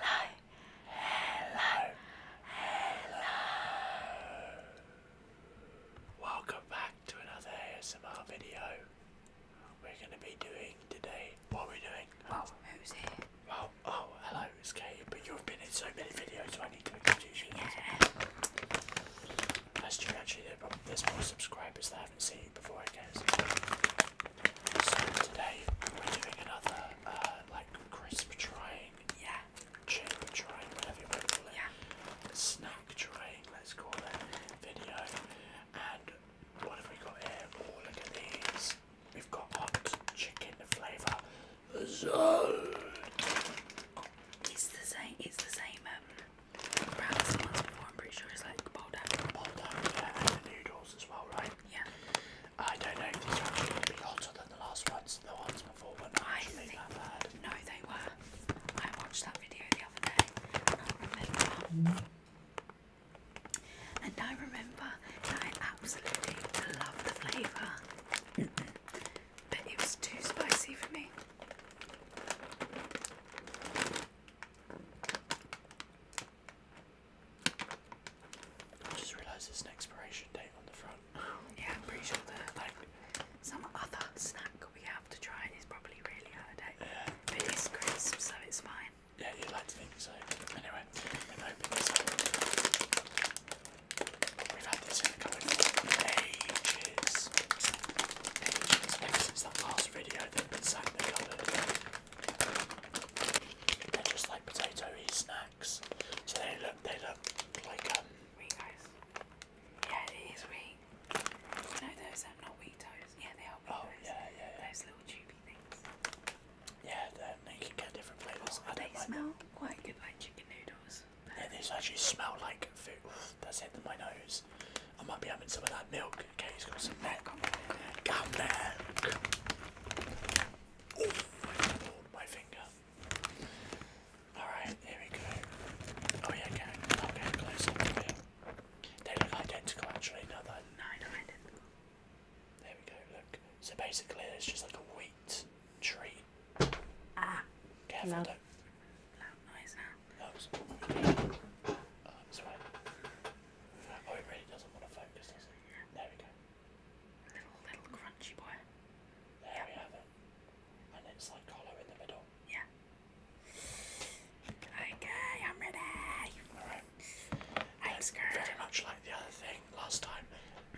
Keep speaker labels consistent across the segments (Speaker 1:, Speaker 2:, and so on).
Speaker 1: Hello, hello, hello. Welcome back to another ASMR video. We're going to be doing today. What are we doing? who's here? Well, oh, hello, it's Kate, but you've been in so many videos, I need to confuse you. That's true, actually, there's more subscribers that haven't seen you before, so today we're doing another uh, like crisp trying, yeah, chip trying, whatever you want to call it, yeah. snack trying, let's call it, video. And what have we got here? Oh, look at these. We've got hot chicken flavour. So it's the same. It's the same. Um, brand before. I'm pretty sure it's like Baldo. Baldo, yeah, and the noodles as well, right? Yeah.
Speaker 2: I don't know if these are actually going to be hotter than the last ones. The ones before But I actually think, that bad. No, they were. I watched that video the other day and I remember. that I absolutely love the flavour. but it was too spicy for me.
Speaker 1: I just realised there's an expiration date on the front. yeah, I'm pretty sure that like some other
Speaker 2: snack we have to try it is probably really out of date. Yeah. But it is crisp, so it's fine. Yeah, you'd like to think so. Anyway, we've opened this
Speaker 1: We've had this in the cupboard for ages. Ages. Ever since that last video that we the cupboard. They're just like potato snacks. So they look, they look like um. Wheat toast. Yeah, wheat. No, those are not wheat Yeah, they are wheat oh, Those little tubey things. Yeah, they you different flavours. Oh, I don't they smell quite good like chicken noodles. Yeah, actually smell like food. that's hitting my nose. I might be having some of that milk Okay, he's got some neck. Come neck. Oh, I pulled my finger. Alright, here we go. Oh yeah, okay. Okay, close up here. They look identical actually, no they're not identical. There we go, look. So basically it's just like a wheat tree. Ah. Careful, loud. don't. Loud noise now. No, it's, uh, this way. Oh, it really doesn't want to focus, does it? No. There we go. Little, little crunchy boy. There yep. we have it. And it's like hollow in the middle. Yeah. Okay, I'm ready. Alright. I'm scared. Very much like the other thing last time.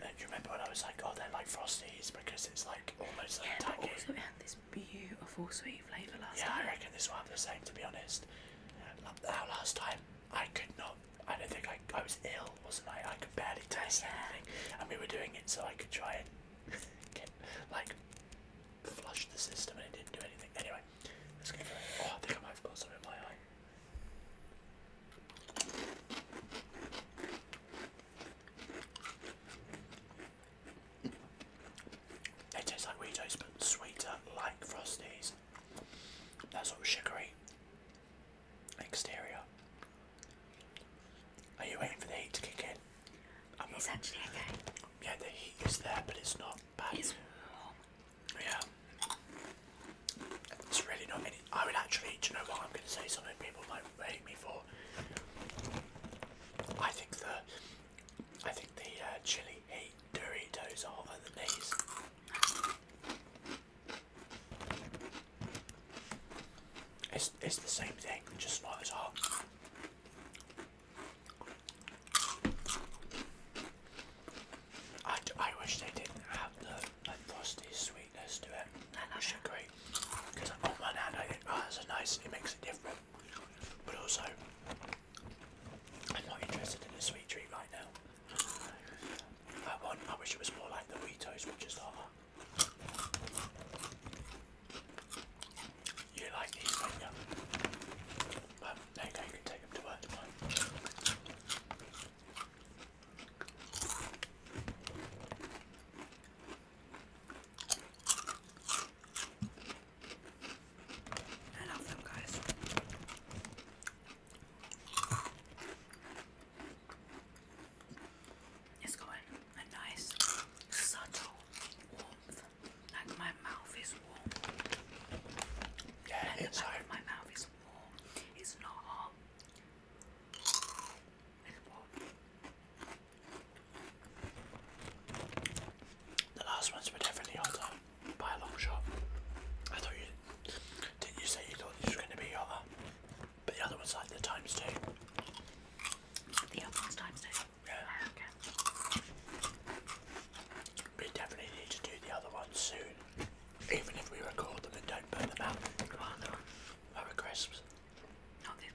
Speaker 1: Do you remember when I was like, oh, they're like Frosties because it's like almost like yeah, tacky. But also it had
Speaker 2: this beautiful sweet flavour last yeah, time. Yeah, I reckon this
Speaker 1: will have the same to be honest. Now last time I could not. I don't think I. I was ill, wasn't I? I could barely taste yeah. anything, and we were doing it so I could try and get like flush the system, and it didn't do anything. Anyway, let's go. For oh, I think I might have got something in my eye. It tastes like Wheaties but sweeter, like Frosties. That's all sugary exterior. Are you waiting for the heat to kick in? I'm it's not, actually okay. Yeah, the heat is there, but it's not bad. It's warm. Yeah. It's really not any. I would actually, do you know what? I'm going to say something people might hate me for. I think the I think the uh, chili heat Doritos are the than It's, it's the same thing, just not as hot. I, I wish they didn't have the like, frosty sweetness to it. Oh, I should agree. Because on one hand I think, oh that's a nice, it makes it different. But also, I'm not interested in a sweet treat right now. That one, I wish it was more like the Wheatos, which is lava. You like these, don't you? Well, you can take them to work
Speaker 2: I love them, guys. It's got a nice, subtle warmth. Like my mouth is warm. Yeah, like it's my mouth is warm. It's not hot.
Speaker 1: The last ones were definitely hotter by a long shot. I thought you didn't you say you thought these were going to be hotter, but the other ones like the times two. The other ones times two. Yeah. We definitely need to do the other ones soon, even if we record them and don't burn them out. What other ones? Our crisps. Not these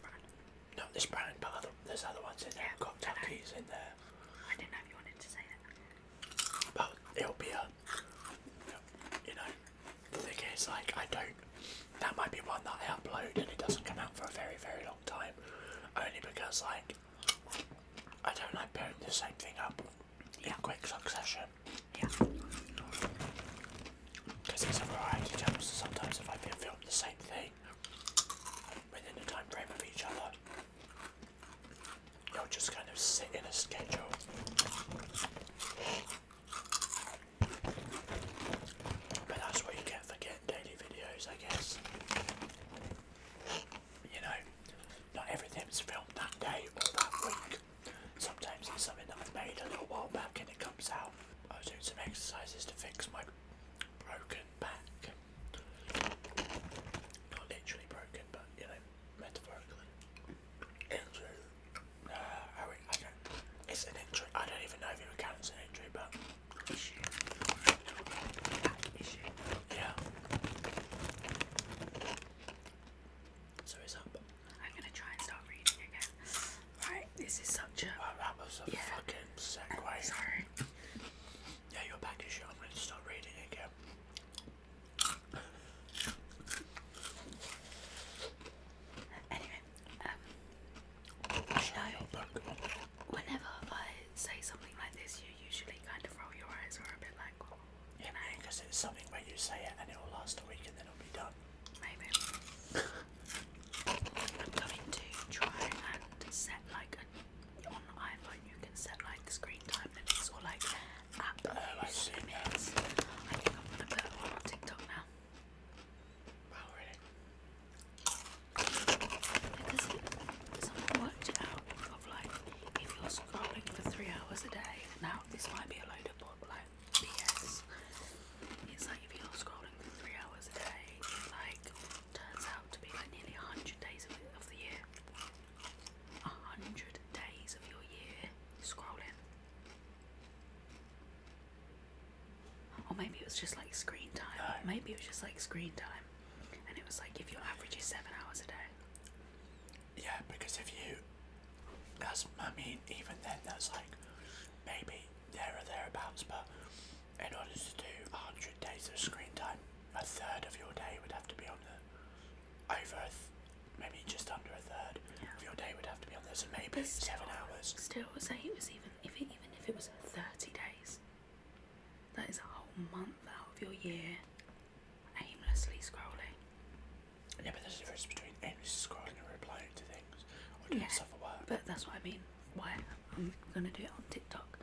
Speaker 1: not this brand, but there's other ones in there. Yeah, got Tuckies in there. I didn't know if you wanted to say it. But it'll be a, you know, the thing is, like, I don't. That might be one that I upload and it doesn't come out for a very, very long time, only because like I don't like putting the same thing up Yeah. quick succession. Yeah. Because it's a variety jump, so sometimes if I've been filming the same thing, within the time frame of each other. You'll just kind of sit in a schedule. But that's what you get for getting daily videos, I guess. You know, not everything's filmed that day or that week. Sometimes it's something that I've made a little while back and it comes out. I was doing some exercises to fix my broken back. Not literally broken, but you know, metaphorically. Injury. Uh, I, I don't. It's an injury. I don't even know if it would count as an entry, but.
Speaker 2: Yeah. So it's up. I'm gonna try and start reading again. Right, this is such
Speaker 1: a. fucking segue. Sorry. Yeah, you're back to show. I'm going to start reading again.
Speaker 2: Anyway, um, so whenever I say something
Speaker 1: like this, you usually kind of roll your eyes or a bit like, oh, yeah, Because it's something where you say it and it will last a week and then it'll be done. Maybe.
Speaker 2: I'm going to try and set like a, on iPhone you can set like screen time limits or like app oh, use oh, limits. I think I'm gonna put one on TikTok now. Wow, oh, really? Because someone worked it out of like if you're scrolling for three hours a day. Now this might be a load of bot like BS. It's like if you're scrolling for three hours a day, like turns out to be like nearly 100 days of, of the year. 100 days of your year scrolling. Or maybe it was just like screen time. Maybe it was just like screen time.
Speaker 1: And it was like if your average is seven hours a day. Yeah, because if you. That's, I mean, even then, that's like maybe there are thereabouts, but in order to do 100 days of screen time, a third of your day would have to be on the over, maybe just under a third of your day would have to be on this, so maybe seven hours.
Speaker 2: Still, say it was even if it, even if it was 30 days, that is a whole month out of your year
Speaker 1: aimlessly scrolling. Yeah, but there's a difference between aimlessly scrolling and replying to things
Speaker 2: or doing yeah, stuff at work. But that's what I mean. Why I'm gonna do it on TikTok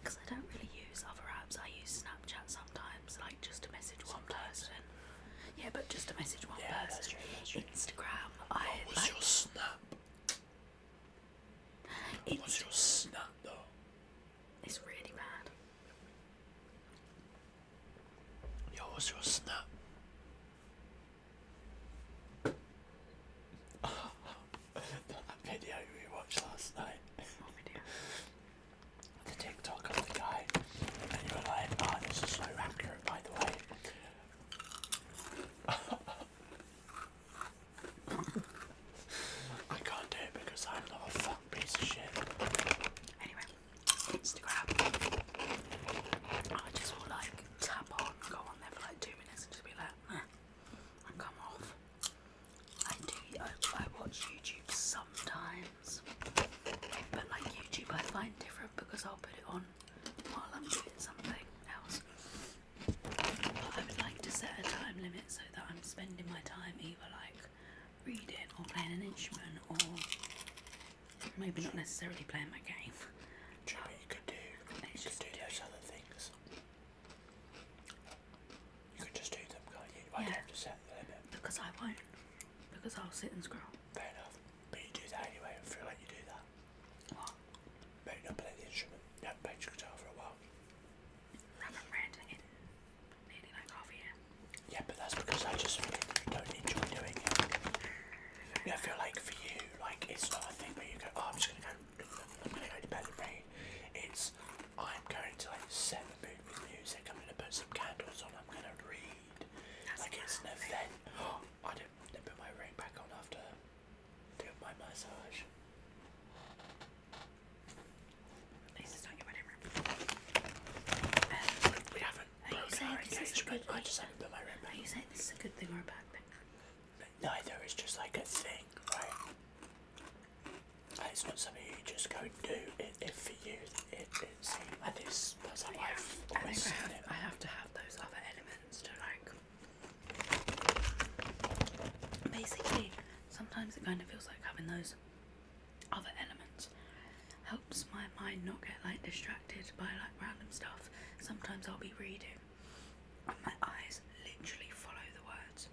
Speaker 2: because I don't really use other apps. I use Snapchat sometimes, like just to message one person. Yeah, but just to message one person. Instagram. What I was like, your snap? What was your snap though? It's really bad. Yo, what's your snap?
Speaker 1: that video we watched last night. The TikTok of the guy, and you were like, "Oh, this is so accurate, by the way." I can't do it because I'm not a fucking piece of shit. Anyway, Instagram. I just will like tap on, go on there for like two just be like, come off.
Speaker 2: I do, I, watch YouTube sometimes, but like YouTube I find different because I'll put it on while I'm doing something else. I would like to set a time limit so that I'm spending my time either like reading or playing an instrument or maybe not necessarily playing my game. Try you
Speaker 1: could do. You could do those other things.
Speaker 2: You could just do them, can you? I don't have to set the limit. Because I won't. Because I'll sit and scroll. Fair
Speaker 1: enough. But you do that anyway. I feel like you do that. What? Maybe not play the instrument. You haven't guitar for a while. I haven't read in like half Yeah, but that's because I just don't enjoy doing it. I feel like for you, like it's not a thing But you go, oh, I'm just gonna go, I'm gonna go to bed and read. It's, I'm going to like set the mood with music. I'm gonna put some candles on. I'm gonna read. That's like it's an event. I didn't, didn't put my ring back on after doing my massage. At least not your wedding ring. Um, we have I just haven't put my ring back. Are you saying this is a good thing or a bad thing? neither is just like a thing, right? It's not something you just go do. It, it for you, it's that is that's how yeah, I've I have, it. I have to have those other elements
Speaker 2: to like. Basically, sometimes it kind of feels like having those other elements helps my mind not get like distracted by like random stuff sometimes I'll be reading and my eyes literally
Speaker 1: follow the words.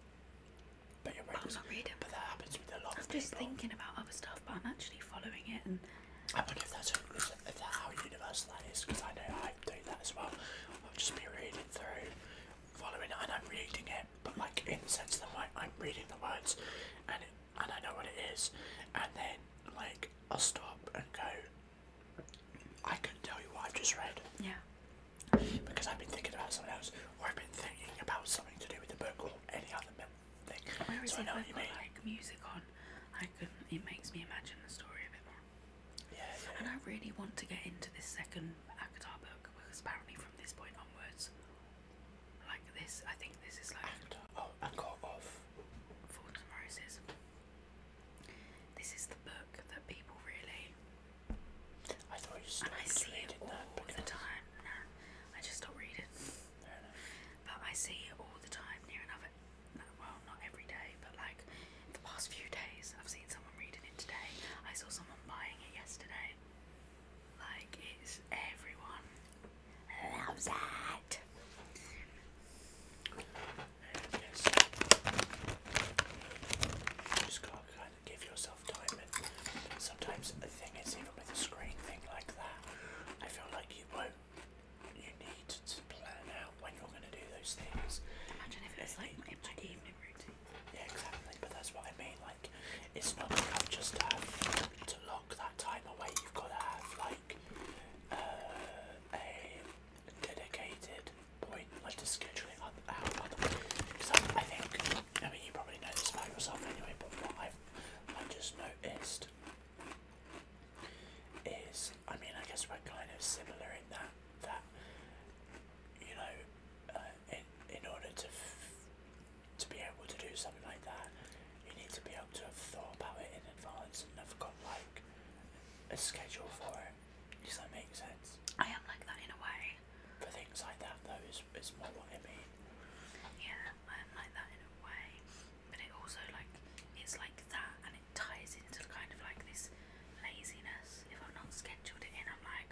Speaker 1: But, you're I'm not reading. But that happens with a lot I'm
Speaker 2: just thinking
Speaker 1: about other stuff, but I'm actually following it. And I wonder if that's, how universal that is, because I know I do that as well. i am just be reading through, following it, and I'm reading it, but like in the sense that I'm reading the words, and it, and I know what it is, and then like I'll stop and go, I couldn't tell you what I have just read. Yeah. Because I've been thinking about something else, or I've been thinking about something to do
Speaker 2: with the book or any other thing. Where is it? I know I've got like music on, I could. It makes me imagine the story a bit more. Yeah, And I really want to get into this second Akatar book because apparently from this point onwards, like this, I think this is like. Akatar. Oh, Akatar of. Ford and Roses. This is the book that people really. I thought you stopped I see reading it all that the time. No, I just stopped reading. Fair enough. But I see it all the time, near enough. Well, not every day, but like the past few days, I've seen someone reading it today. I saw someone buying it yesterday. Like it's everyone. Love that.
Speaker 1: just kind of give yourself time sometimes the thing is even with a screen thing like that, I feel like you won't you need to plan out when you're gonna do those things. Imagine if it was like my, evening routine. Yeah, exactly. But that's what I mean. Like, it's not enough just to lock that time away. You've got to have like uh, a dedicated point, like to schedule it out because I, think, I mean you probably know this about yourself anyway, but what I've, i just noticed is, I mean I guess we're kind of similar in that, that you know, uh, in, in order to, to be able to do something like that, you need to be able to have thought about it in advance and have got like a schedule for it. Does that make sense? I am like that in a way. For things like that though is, is more what I mean. Yeah,
Speaker 2: I am like that in a way. But it also like it's like that and it ties into kind of like this laziness. If i am not scheduled in I'm like,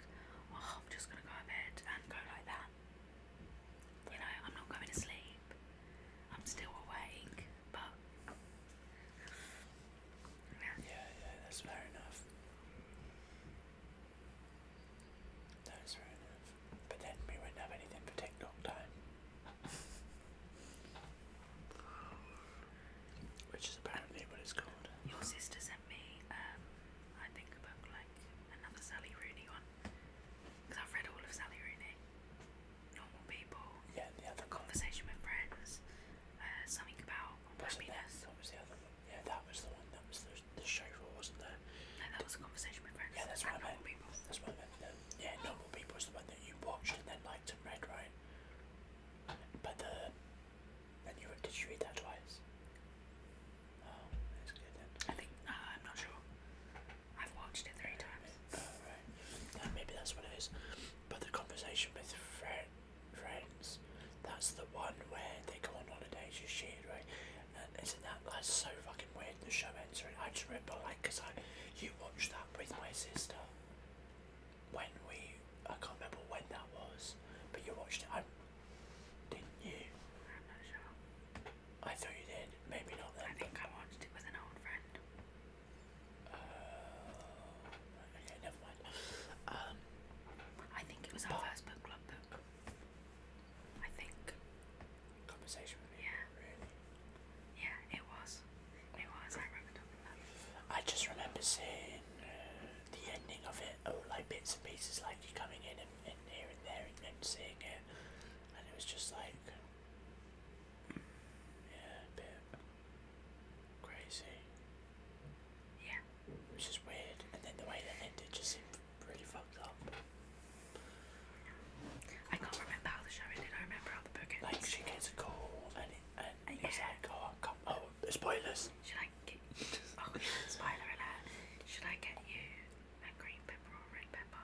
Speaker 2: oh I'm just gonna go to bed and go like that. You know, I'm not going to sleep.
Speaker 1: I'm still awake, but yeah, yeah, that's fair enough. That's fair enough. But then we wouldn't have anything for TikTok time, which is apparently what it's called. Your sister
Speaker 2: sent me, um, I think about like another Sally Rooney one
Speaker 1: because I've read all of
Speaker 2: Sally Rooney.
Speaker 1: Yeah, the other conversation with
Speaker 2: friends. Uh, something about That, was
Speaker 1: the other one. Yeah, that was the one. That was the, the show for, wasn't there? that was a conversation with friends. Yeah, that's what I meant. People. That's one of meant. The, yeah, normal people is the one that you watched and then liked and read, right? But the did you read that twice? Oh, that's good then. I think uh, I'm not sure. I've watched it three times. Oh, maybe that's what it is. But the conversation with friends, that's the one where they go on holidays, you shit, right? And isn't that that's so fucking weird? The show ends, right? I just remember, like, because I you watched that with my sister when we, I can't remember when that was, but you watched it, I, didn't you? I thought you did. Maybe not then. I think I watched it with an old friend. Uh, okay, never mind. Um, I think
Speaker 2: it was our first book club book. I think. Conversation with me.
Speaker 1: Yeah. Really. Yeah, it was. It was. I remember talking about it. I just remember seeing uh, the ending of it, oh, like bits and pieces, like you coming in and, and here and there and, and seeing it. And it was just like, yeah, a bit crazy. Yeah. Which is weird. And then the way that ended just seemed really fucked up. I can't remember how the show ended. I remember how the book ended. Like she gets a call and it,
Speaker 2: and uh, yeah. it's like, oh, come, oh, spoilers. Should I get? Oh, spoiler alert. Should I get you a green pepper or a red pepper?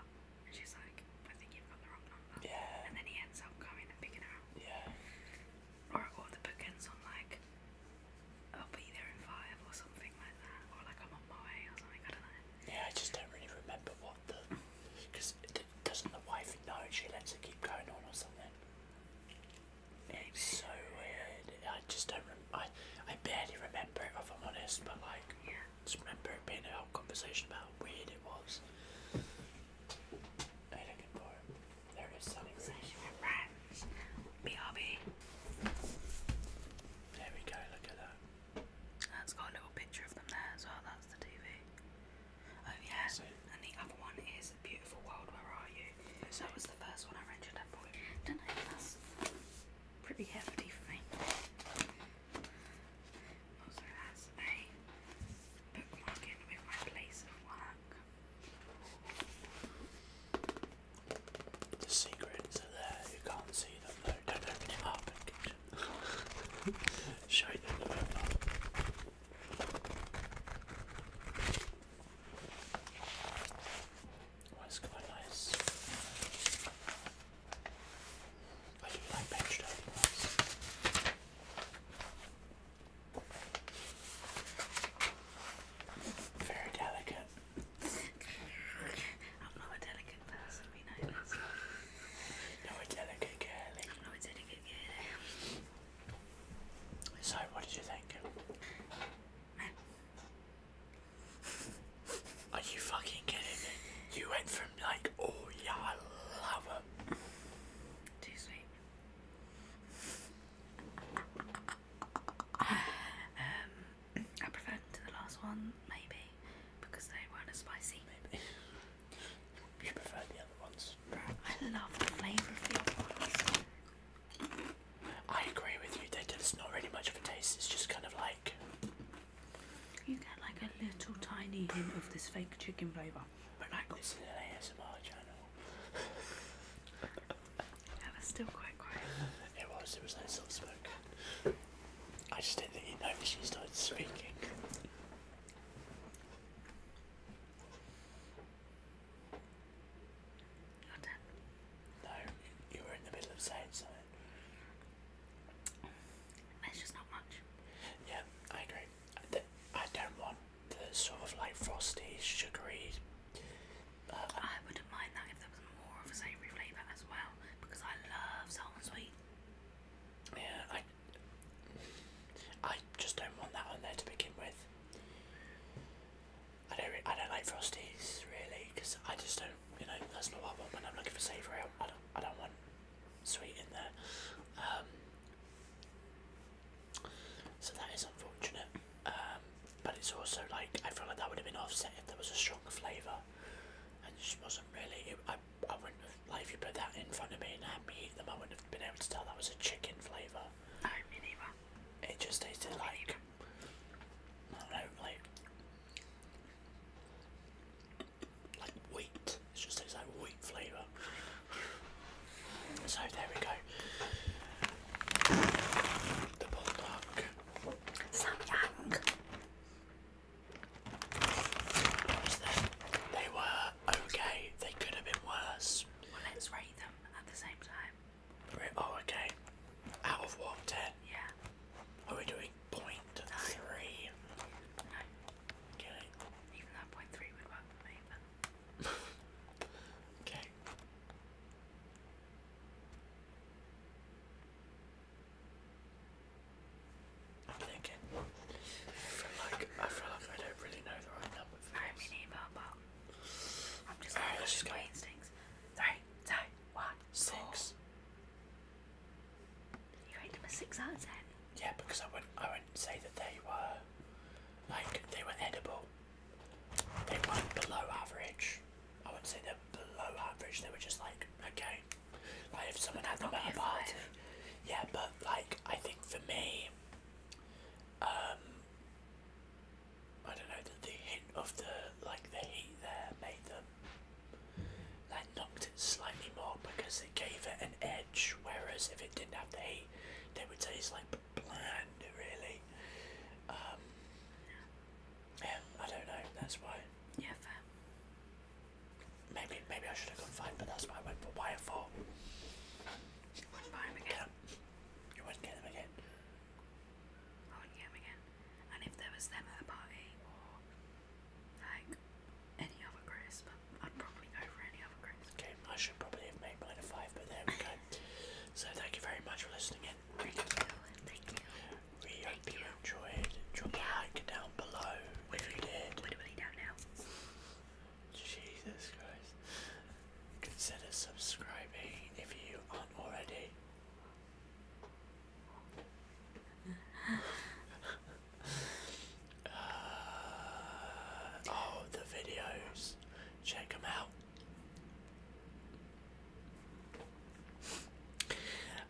Speaker 2: And she's like, I think you've got the wrong number. Yeah. And then he ends up coming and picking her up. Yeah. Or, or the book on like, I'll be there in five or something like that. Or like, I'm on my way
Speaker 1: or something, I don't know. Yeah, I just don't really remember what the. Because doesn't the wife know she lets it keep going on or something? It's so weird. I just don't. Rem I I barely remember it if I'm honest. But like, yeah. Just remember it being a whole conversation about how weird it was. There
Speaker 2: we go, look at that. That's got a little picture of them there as well, that's the TV. Oh yeah, and the other one is Beautiful World, Where Are You? That was the first one I rented up for. Don't know if pretty hefty thing. Also has
Speaker 1: a bookmark in with my place of work. The secrets are there, you can't see them Don't open it up and Show them Oh, it's quite nice. I do
Speaker 2: Very delicate. I'm not a delicate person, we know this.
Speaker 1: a delicate girly. I'm not a delicate girly. So, what did you think? Are you fucking kidding me? You went from like, oh yeah, I love her. Too sweet.
Speaker 2: um, I prefer to the last one, maybe, because they weren't as spicy. Maybe. you preferred the other ones? I love the flavour of the other
Speaker 1: ones. I agree with you that it's not really much of a taste, it's just kind of like.
Speaker 2: You get like a little tiny hint of this fake chicken flavour.
Speaker 1: But like this is an ASMR channel.
Speaker 2: that was still quite
Speaker 1: quiet. It was, it was like soft spoken. I just didn't think you noticed she started speaking. No, you were in the middle of saying something. There's just not much. Yeah, I agree. I, don't want the sort of like frosty, sugary. Uh, I wouldn't
Speaker 2: mind that if there was more of a savoury
Speaker 1: flavour as well, because I love sour sweet. Yeah, I. I just don't want that on there to begin with. I don't, I don't like Frosties really because I just don't, you know, that's not what I want when I'm looking for savoury. I don't, I don't want sweet in there. Um, so that is unfortunate. Um, but it's also like, I feel like that would have been offset if there was a strong flavour. And it just wasn't really, I, I wouldn't have, like if you put that in front of me and had me eat them, I wouldn't have been able to tell that was a chicken flavour. No, me neither. It just tasted like not know, like, wheat. It's just it's like wheat flavour. So there we go. The bulldog. Sam Yang. They were okay. They could have been worse. let's rate them at the same time. Three, oh, okay. Out of what, Yeah. Are we doing three? Okay. Even though point three would work for me, okay. I'm thinking. I feel like I feel like I don't really know the right number
Speaker 2: I am just. Alright, let's just go. Instincts. Three, two, one,
Speaker 1: six. You rate
Speaker 2: them a six out of ten.
Speaker 1: Yeah, because I wouldn't. I wouldn't say that they were like they were edible. They weren't below average. I wouldn't say they're below average. They were just like okay. Like if someone had them at a party. Yeah, but like I think for me, um, I don't know, that the hint of the like the heat there made them that knocked it slightly more because it gave it an edge, whereas if it didn't have the heat, they would taste like bland really. Um, I don't know, that's why. Yeah, fair. Maybe maybe I should have gone five, but that's why I went for wire four. You would again. You wouldn't again. I
Speaker 2: oh, would again. And if there was them at a party or
Speaker 1: like any other crisp, I'd probably go for any other crisp. Okay, I should probably have made mine a five, but there we go. so thank you very much for listening in. Thank enjoyed. Drop a like down below if you did. Literally down now. Jesus Christ consider subscribing if you aren't already. Uh, oh, the videos. Check them out.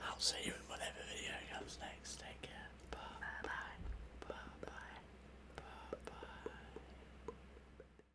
Speaker 1: I'll see you in whatever video comes next. Take care. Bye bye. Bye bye. Bye bye.